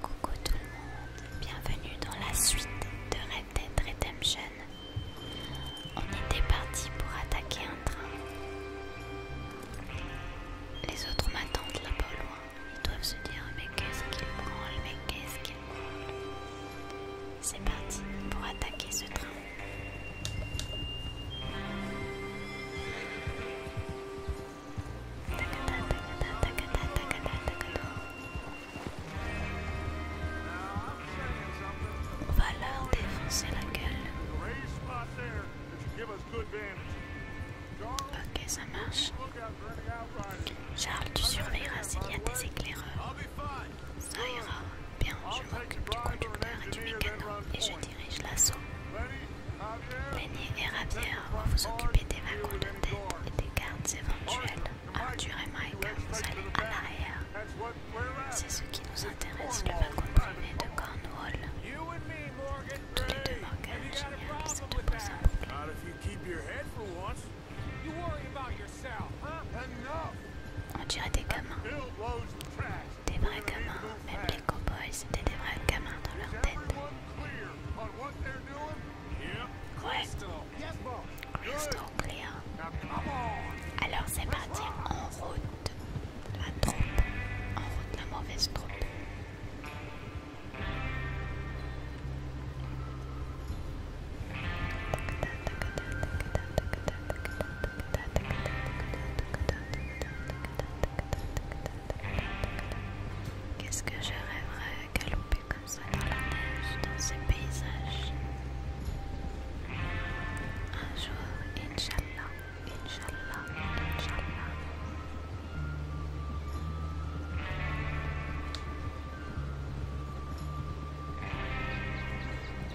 Coucou tout le monde, bienvenue dans la suite de Red Dead Redemption. On était parti pour attaquer un train. Les autres m'attendent là-bas loin. Ils doivent se dire mais qu'est-ce qu'il branle, mais qu'est-ce qu'il branle. C'est parti pour attaquer ce train. On va leur défoncer la gueule. Ok, ça marche. Charles, tu surveilleras s'il y a des éclaireurs. Ça ira. Bien, je m'occupe du conducteur et du mécano et je dirige l'assaut. Lenny et Ravière vont vous occuper des wagons de tête et des gardes éventuels. Arthur et Mike, vous allez à l'arrière. C'est ce qui nous intéresse, le wagon privé de Cornwall. Tous les deux, Morgan, génial, ça te pose un problème. On dirait des gamins. Des vrais gamins. Même les cowboys, c'était des vrais gamins dans leur tête. Ouais. Crystal clear. Alors c'est parti en route. La troupe. En route, la mauvaise troupe. Qu'est-ce que je rêverais à galoper comme ça dans la neige, dans ces paysages. Un jour, Inch'Allah, Inch'Allah, Inch'Allah.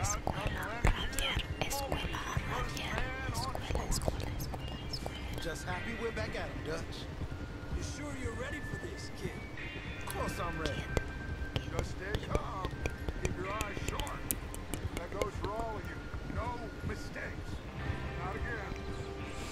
Escuela Javier, escuela Javier, escuela, escuela, escuela, escuela. Just happy we're back at it, Dutch. You sure you're ready for this, kid? Of course I'm ready. Just stay calm. Keep your eyes short. That goes for all of you. No mistakes.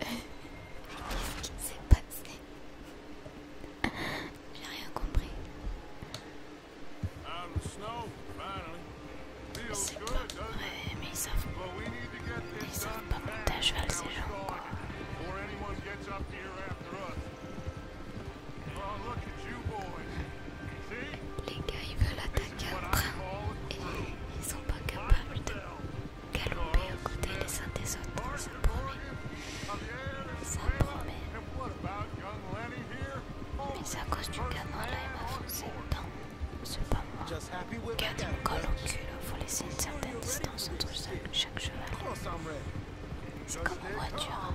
Qu'est-ce qui s'est passé J'ai rien compris. Je sais pas, ouais, mais ils savent, ils savent pas monter à cheval ces gens quoi. Les gars ils veulent attaque et ils sont pas capables de galoper aux côtés les uns des autres. Ça promet. Ça promet. Mais c'est à cause du gamin là, il m'a foncé dedans. C'est pas moi. Garde mon col au cul, il faut laisser une certaine distance entre chaque cheval. C'est comme une voiture. Hein.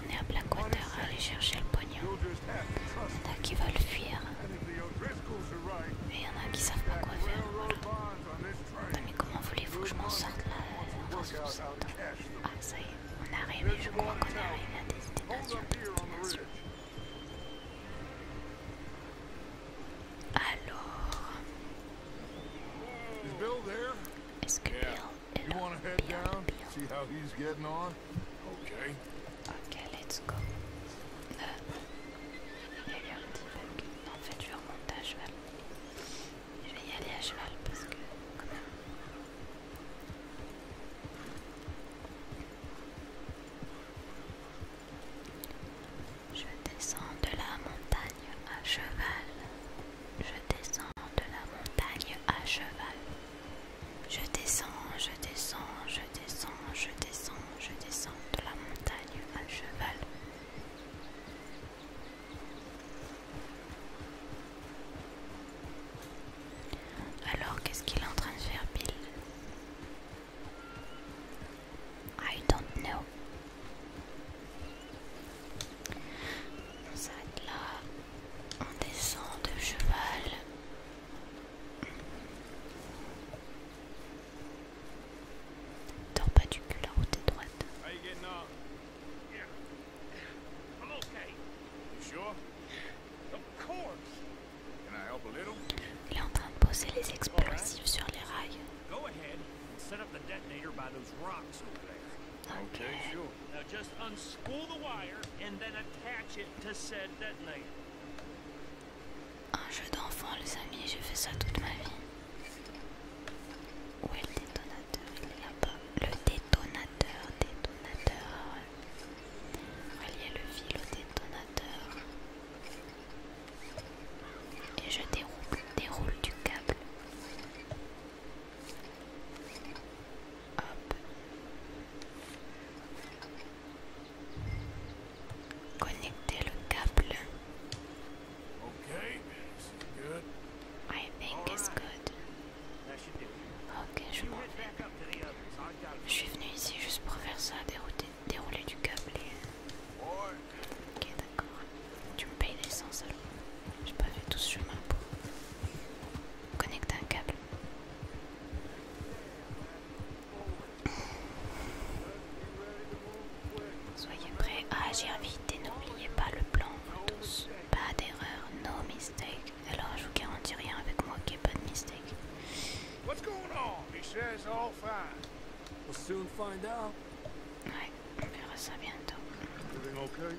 On est à Blackwater à aller chercher le pognon. Il y en a qui veulent fuir. Et il y en a qui savent pas quoi faire. Mais comment voulez-vous que je m'en sorte là Ah ça y est, on est arrivé, je crois qu'on est arrivé à des Alors... Est-ce que Bill You wanna head down? See how he's getting on? Okay. Okay, let's go. Euh, il y a un petit bug. En fait, je vais remonter à cheval. Je vais y aller à cheval parce que, quand Je descends de la montagne à cheval. Je descends de la montagne à cheval. Je descends, je descends, je descends, je descends, je descends de la montagne à cheval. Alors qu'est-ce qu'il est en train de faire Bill I don't know on s'arrête là, on descend de cheval. Dors pas du cul, la route est droite. Il est en train de poser les explosifs sur les rails. Ok just the wire and then attach it to said detonator. Un jeu d'enfant, les amis, j'ai fait ça toute ma vie. Où est le détonateur Il n'y a pas. Le détonateur, détonateur. a le fil au détonateur. Et je déroule, déroule du câble. Hop. Connecter le câble. I think it's good. Ok, je m'en vais. Je suis venu ici juste pour faire ça, dérouler, du câble et... Ok, d'accord. Tu me payes l'essence alors. J'ai pas fait tout ce chemin pour... Connectez un câble. Soyez prêts à agir vite et n'oubliez pas le plan, Pas d'erreur, no mistake. Alors je vous garantis rien avec moi qui est pas de mistake. on verra ça bientôt.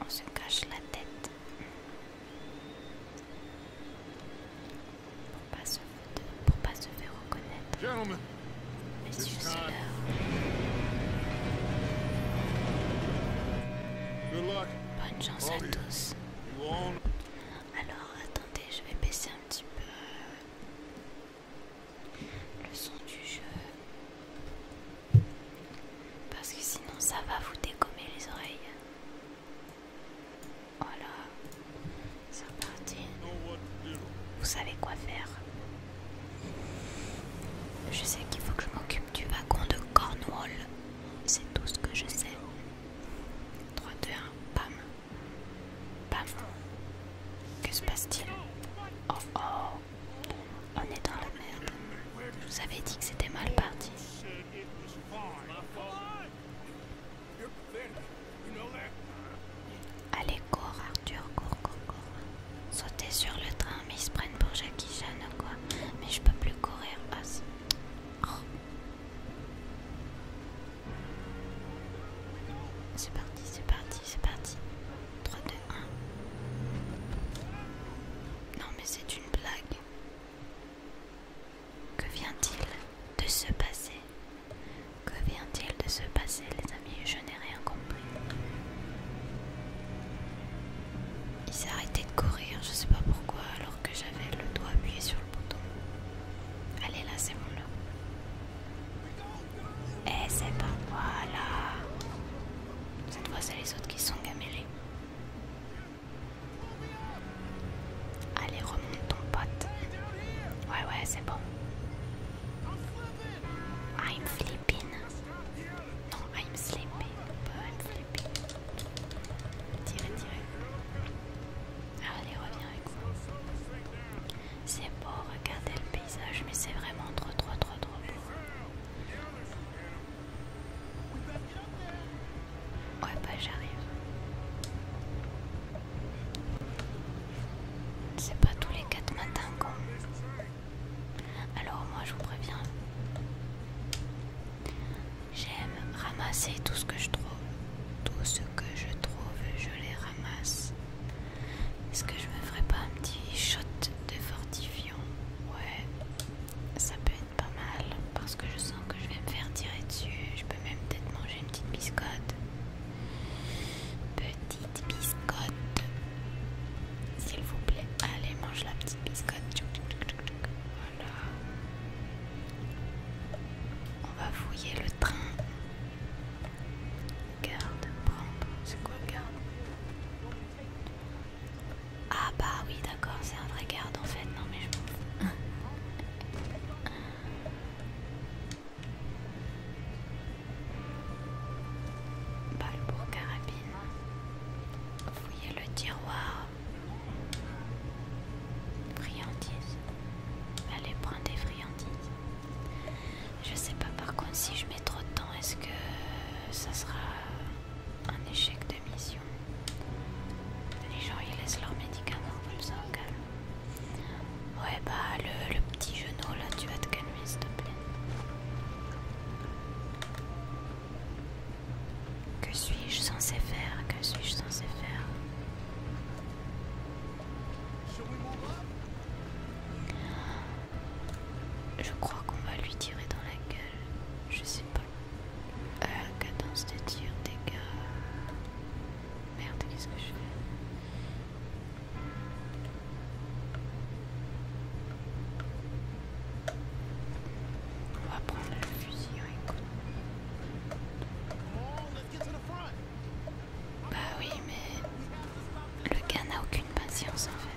on se cache la tête pour pas se, pour pas se faire reconnaître. Messieurs, c'est Bonne chance à tous. Alors attendez, je vais baisser un petit peu le son du jeu. Parce que sinon ça va vous dégommer les oreilles. Voilà. C'est reparti. Vous savez quoi faire. Je sais qu'il faut que je m'occupe du wagon de Cornwall. C'est tout ce que je sais. 3, 2, 1, bam. Bam. Que se passe-t-il Oh oh on est dans la merde. Je vous avais dit que c'était mal parti. Allez, cours, Arthur, cours, cours, cours. Sauter sur le train, mais ils se prennent pour Jackie Chan ou quoi. Mais je peux plus courir. C'est parti, c'est parti, c'est parti. 3, 2, 1. Non, mais c'est une blague. Que vient-il de se passer Que vient-il de se passer, les amis Je n'ai rien compris. Il s'est arrêté de courir, je sais pas pourquoi, alors que j'avais le doigt appuyé sur le bouton. Allez, là, c'est bon, là. Eh, c'est pas... moi là Cette fois, c'est les autres qui sont gamelés. Allez, remonte ton pote. Ouais, ouais, c'est bon. I'm flipping. Non, I'm sleeping. I'm Tirez, tirez. Allez, reviens avec moi. C'est beau, regardez le paysage, mais c'est vraiment trop, trop, trop, trop beau. Ouais, bah j'arrive. C'est pas tous les quatre matins qu'on... Alors moi je vous préviens. J'aime ramasser tout ce que je trouve. Tout ce que je trouve, je les ramasse. Est-ce que je me ferai pas un petit shot de fortif ouais, ça peut être pas mal parce que je sens que je vais me faire tirer dessus. Je peux même peut-être manger une petite biscotte. Petite biscotte, s'il vous plaît. Allez, mange la petite biscotte. Voilà. On va fouiller le train. Garde, prendre. C'est quoi, garde ah bah oui d'accord c'est un vrai garde en fait non mais je m'en fous Balle pour carabine Fouiller le tiroir Friandises Allez prendre des friandises Je sais pas par contre si je mets trop de temps est-ce que ça sera un échec de mission. Les gens ils laissent leurs médicaments comme ça Ouais bah le, le petit genou là tu vas te calmer s'il te plaît. Que suis-je censé faire Que suis-je censé faire je crois qu'on va lui tirer dans la gueule. Je sais pas. À la cadence de tir, gars... Merde, qu'est-ce que je fais On va prendre le fusil, hein, Bah oui, mais le gars n'a aucune patience en fait.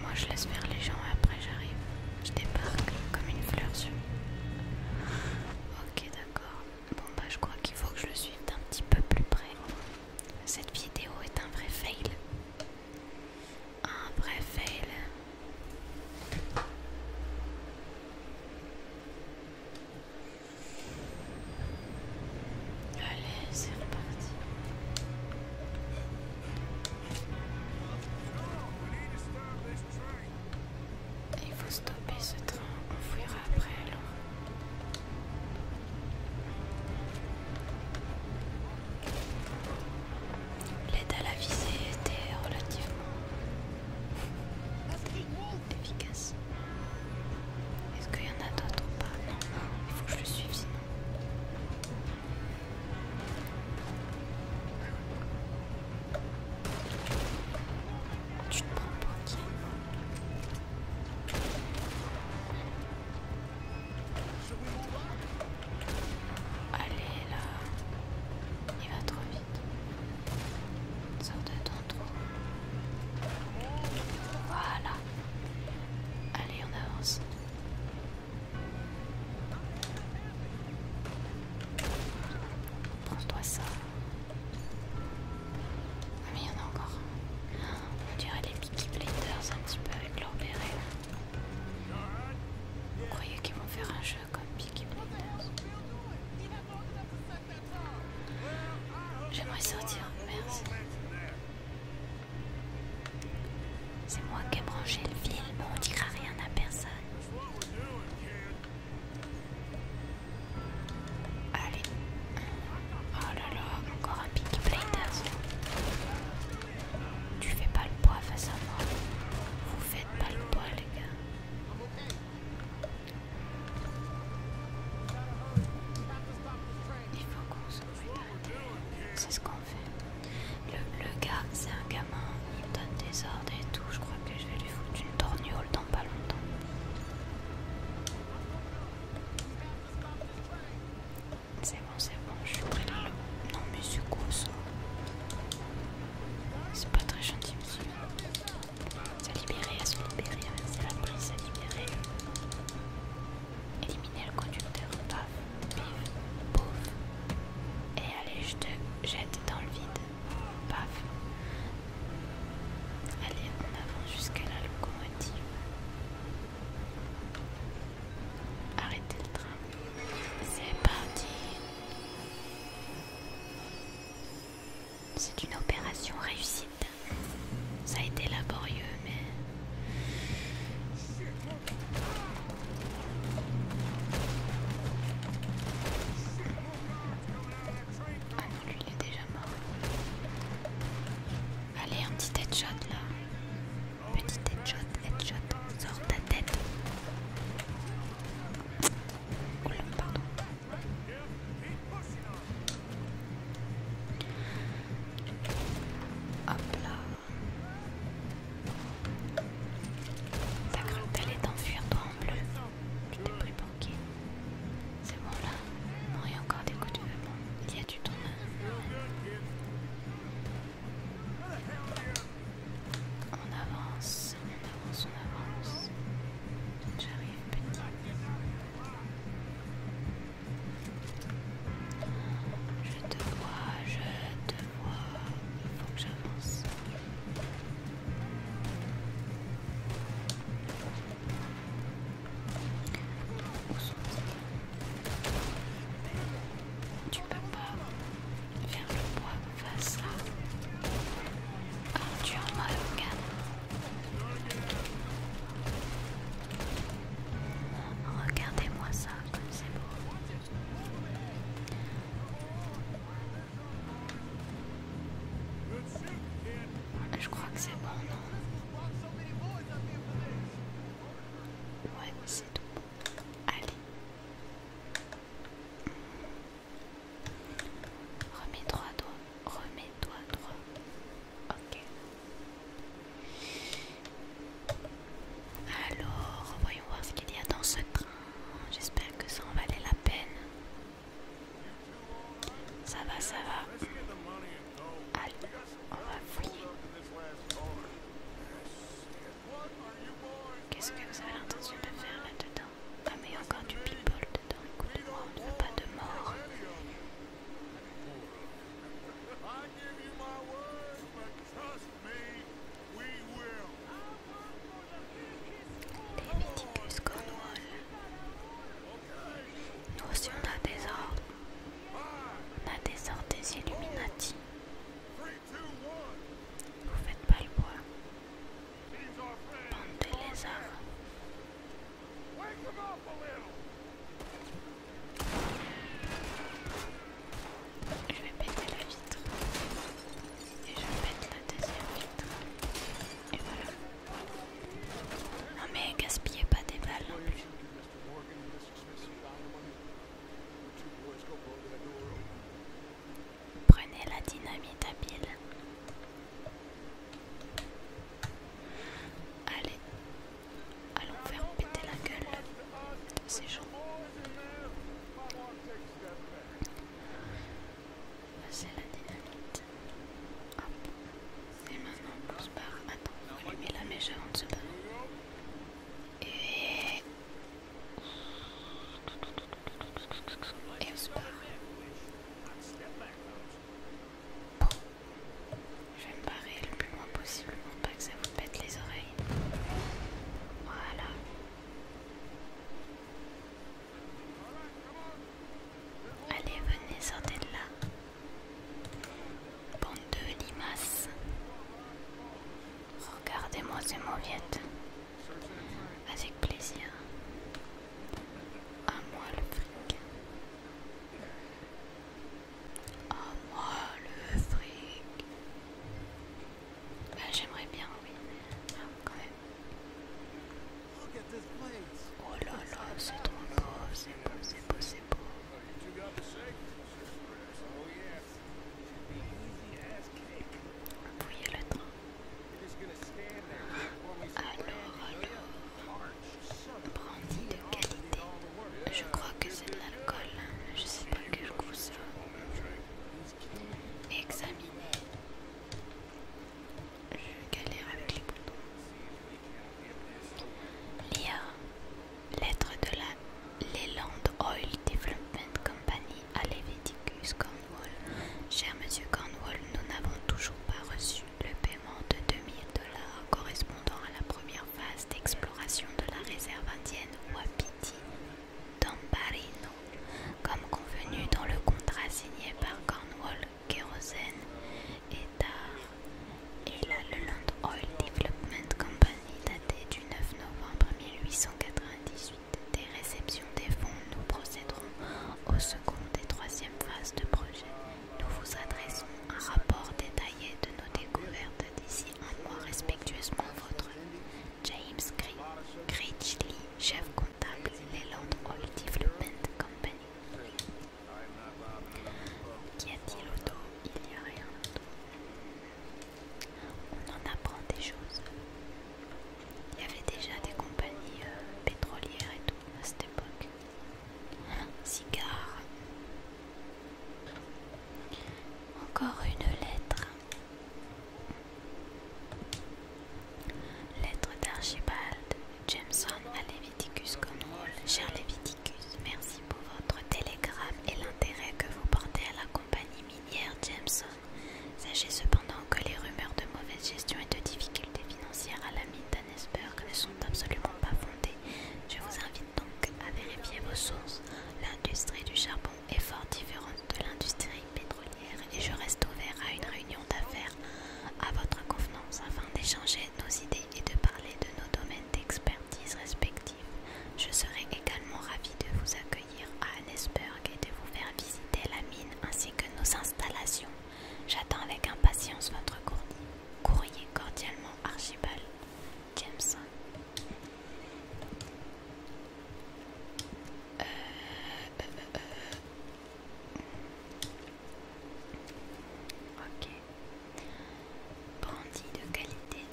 Moi je laisse faire les gens et après j'arrive. Je débarque comme une fleur sur. Ok d'accord. Bon bah je crois qu'il faut que je le suive d'un petit peu plus près. Cette vidéo est un vrai fail. Un vrai fail. Allez, c'est reparti. Il faut stopper ce train, on fuira après alors. L'aide à la visée était relativement efficace. Est-ce qu'il y en a d'autres ou pas Non, il faut que je le suive sinon. Tu te prends pour qui Allez là, il va trop vite. Sors de dedans. Voilà. Allez, on avance. Prends-toi ça. Ah, mais il y en a encore. On dirait les Peaky Blinders un petit peu avec leur béret. Vous croyez qu'ils vont faire un jeu comme Peaky Blinders J'aimerais sortir, merci. C'est moi qui ai branché le mais on dira rien à personne. Allez. Oh là là, encore un petit Blinders. Tu fais pas le poids face à moi. Vous faites pas le poids les gars. Il faut qu'on se C'est ce qu'on fait. Le, gars, c'est un gamin, il donne des ordres et tout. Je crois que je vais lui foutre une torgnole dans pas longtemps. C'est bon, c'est bon, je suis prêt Non mais c'est C'est pas très gentil monsieur. Se libérer, à se libérer, c'est la prise, à libérer. Éliminer le conducteur, paf, pouf. Et allez, je te jette dans le vide, paf. Allez, en avant jusqu'à la locomotive. Arrêtez le train. C'est parti. C'est une opération réussie. Ça a été laborieux, mais... Ah non, lui il est déjà mort. Allez, un petit headshot là. Petit headshot, headshot, sors ta tête. Oulah, pardon. Hop là. T'as cru que t'allais t'enfuir toi en bleu Tu t'es pris pour qui C'est bon là Non, il y a encore des coups de Bon, il y a du tournoi. Hein. On avance. On avance, on avance. J'arrive petit. Je te vois, je te vois. Il faut que j'avance. Tu peux pas faire le bois face à. ça. Ah, tu es en mode, Regardez-moi ça, comme c'est beau. Je crois que c'est bon, non Ouais, c'est tout. Allez. Remets droit, droit. Remets toi droit. Ok. Alors, voyons voir ce qu'il y a dans ce train. J'espère que ça en valait la peine. Ça va, ça va. Allez, on va fouiller. Qu'est-ce que vous avez l'intention de faire là-dedans ah mais y'a encore du people dedans, écoute-moi, on ne veut pas de mort. Léviticus Cornwall. Nous aussi on a des ordres. On a des ordres des Illuminati. Vous faites pas le bois. Bande les lézards. Je vais péter la vitre. Et je vais péter la deuxième vitre. Et voilà. Non mais gaspillez pas des balles Prenez la dynamite habile. Allez, allons faire péter la gueule de ces gens. C'est la dynamite. Hop. Et maintenant on se barre. Attends, on met la mèche avant de se barrer. Et... Et on se barre. Je vais me barrer le plus loin possible pour pas que ça vous pète les oreilles. Voilà. Allez, venez, sortez de là. Bande de limaces. Regardez-moi ces mauviettes. Avec plaisir. À moi le fric. À moi le fric. Bah, J'aimerais bien, oui. Ah, quand même. Oh là là, c'est trop beau, c'est beau, c'est beau, Vous le train alors, alors, brandy de qualité. Je crois que c'est de l'alcool. Je sais pas quel goût ça. Examiner. Je galère avec les boutons. Lire. Lettre de la Leyland Oil Development Company compagnie à Cornwall. Cher monsieur Cornwall, nous n'avons toujours pas reçu le paiement de 2000 dollars correspondant à la première phase d'exploration de la réserve indienne Wapiti d'Ambarino, comme convenu dans le contrat signé par Cornwall, Kerosene et et la Leland Oil Development Company daté du 9 novembre 1898 des réceptions des fonds, nous procéderons aux secondes et troisième phases de projet. Nous vous adressons un rapport détaillé de nos découvertes d'ici un mois respectueusement votre James Critchley, chef comptable les Oil Development Company. Qu'y a-t-il Il n'y a rien On en apprend des choses. Il y avait déjà des compagnies euh, pétrolières et tout à cette époque. Cigare. Encore une lettre. Lettre d'Archibald Jameson à Leviticus Cornwall. Cher Leviticus, merci pour votre télégramme et l'intérêt que vous portez à la compagnie minière Jameson. Sachez cependant que les rumeurs de mauvaise gestion et de difficultés financières à la mine d'Annesburg ne sont absolument pas fondées. Je vous invite donc à vérifier vos sources. L'industrie du charbon est fort différente de l'industrie pétrolière et je reste ouvert à une réunion d'affaires à votre convenance afin d'échanger nos idées et de parler de nos domaines d'expertise respectifs. Je serai également ravi de vous accueillir à Annesburg et de vous faire visiter la mine ainsi que nos installations. J'attends avec impatience votre courrier cordialement Archibald Jameson. Euh, euh, euh, ok. Brandy de qualité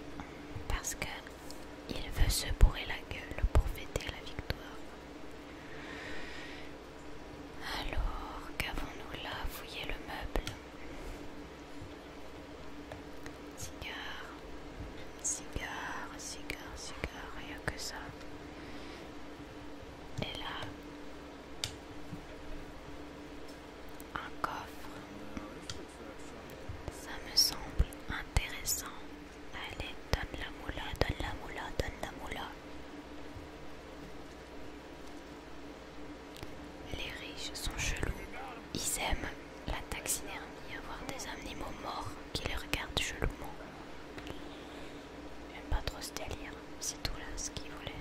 parce que il veut se bourrer la gueule pour fêter la victoire. Alors, qu'avons-nous là Fouiller le meuble. Cigare, cigare, cigare, cigare, rien que ça. Et là, un coffre. Ça me semble intéressant. Allez, donne la moula, donne la moula, donne la moula. Les riches sont jaloux. Ils aiment la taxidermie, avoir des animaux morts qui les regardent chelouement. J'aime pas trop ce délire, c'est tout là ce qu'ils voulaient.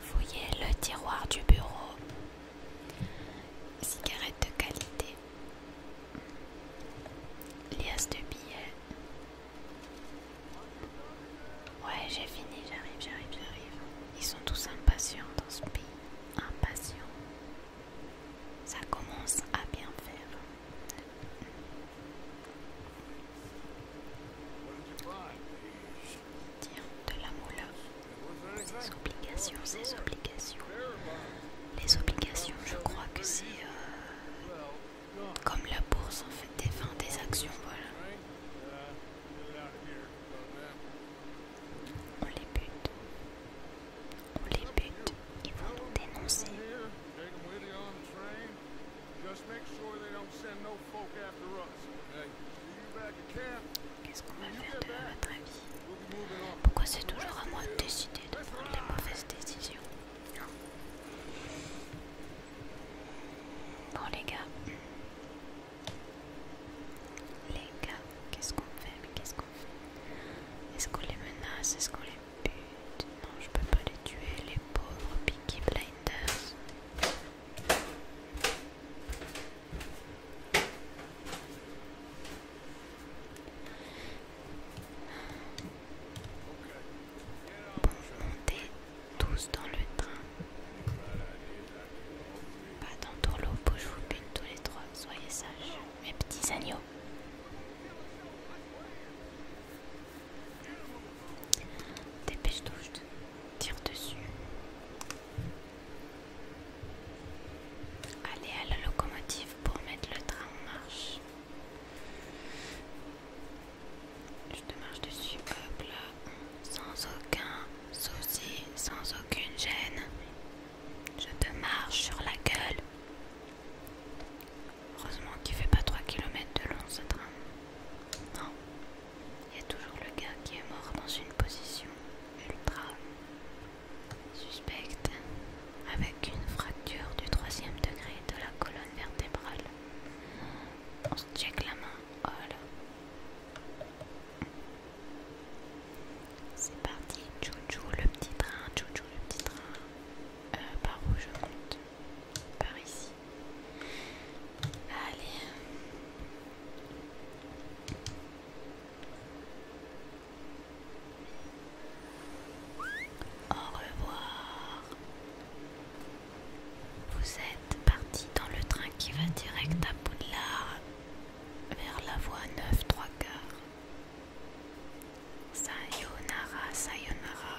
Fouillez le tiroir du bureau. Cigarette de qualité. Lias de billets. Ouais, j'ai fini, j'arrive, j'arrive, j'arrive. Ils sont tous impatients dans ce pays. Impatients. Ça commence à bien faire. Tiens, de la moula. Ces obligations, ces obligations. Les obligations, je crois que c'est euh, comme la bourse en fait, des, fins, des actions, voilà. On les bute. On les bute. Ils vont nous dénoncer. Qu'est-ce qu'on va faire pourquoi c'est toujours à moi de décider de prendre les mauvaises décisions Bon les gars. Les gars, qu'est-ce qu'on fait qu'est-ce qu'on fait Est-ce qu'on les menace Est-ce qu'on les bute Non, je peux pas les tuer, les pauvres Peaky Blinders. Montez tous dans le train. Pas d'entourloupe où je vous bute tous les trois, soyez sages, mes petits agneaux. Dépêche-toi, je tire dessus. Allez à la locomotive pour mettre le train en marche. Je te marche dessus, hop sans aucun souci, sans aucune gêne. Je te marche sur la gueule. Heureusement qu'il fait pas 3 km de long ce train. Non. Il y a toujours le gars qui est mort dans une position ultra Suspecte avec une fracture du troisième degré de la colonne vertébrale. On se check la main. C'est parti. chouchou le petit train. le petit train. Euh, par où je monte Par ici. Allez. Au revoir. Vous êtes parti dans le train qui va direct à Poudlard vers la voie 9 3 quarts. Sayonara, sayonara.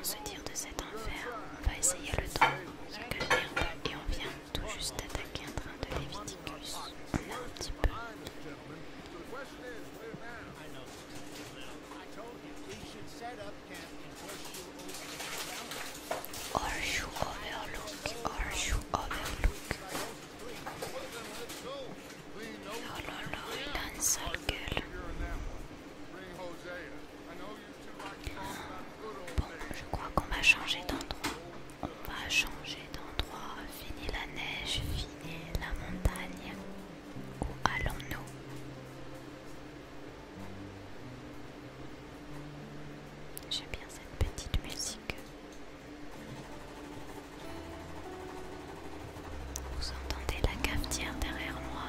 on se tire de cet enfer, on va essayer le temps, se calmer un et on vient tout juste d'attaquer un train de Léviticus. On a un petit peu. Horseshoe Overlook, Horseshoe Overlook. Oh là là, il a une sale gueule. Bon, je crois qu'on va changer d'endroit. On va changer d'endroit. Fini la neige, fini la montagne. Où allons-nous J'aime bien cette petite musique. Vous entendez la cafetière derrière moi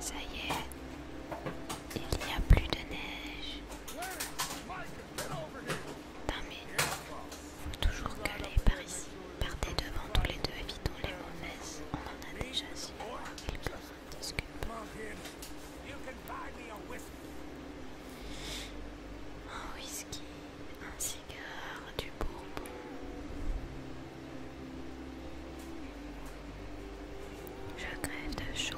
Ça y est, il n'y a plus de neige. Faut toujours galérer par ici. Partez devant tous les deux, évitons les mauvaises. On en a déjà su. Un whisky, un cigare, du bourbon. Je crève de chaud.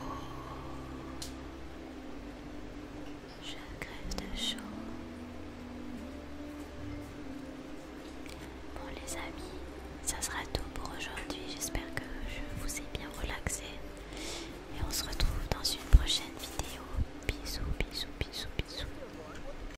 Je crève de chaud. Bon les amis, ça sera tout pour aujourd'hui. J'espère que je vous ai bien relaxé. Et on se retrouve dans une prochaine vidéo. Bisous, bisous, bisous, bisous.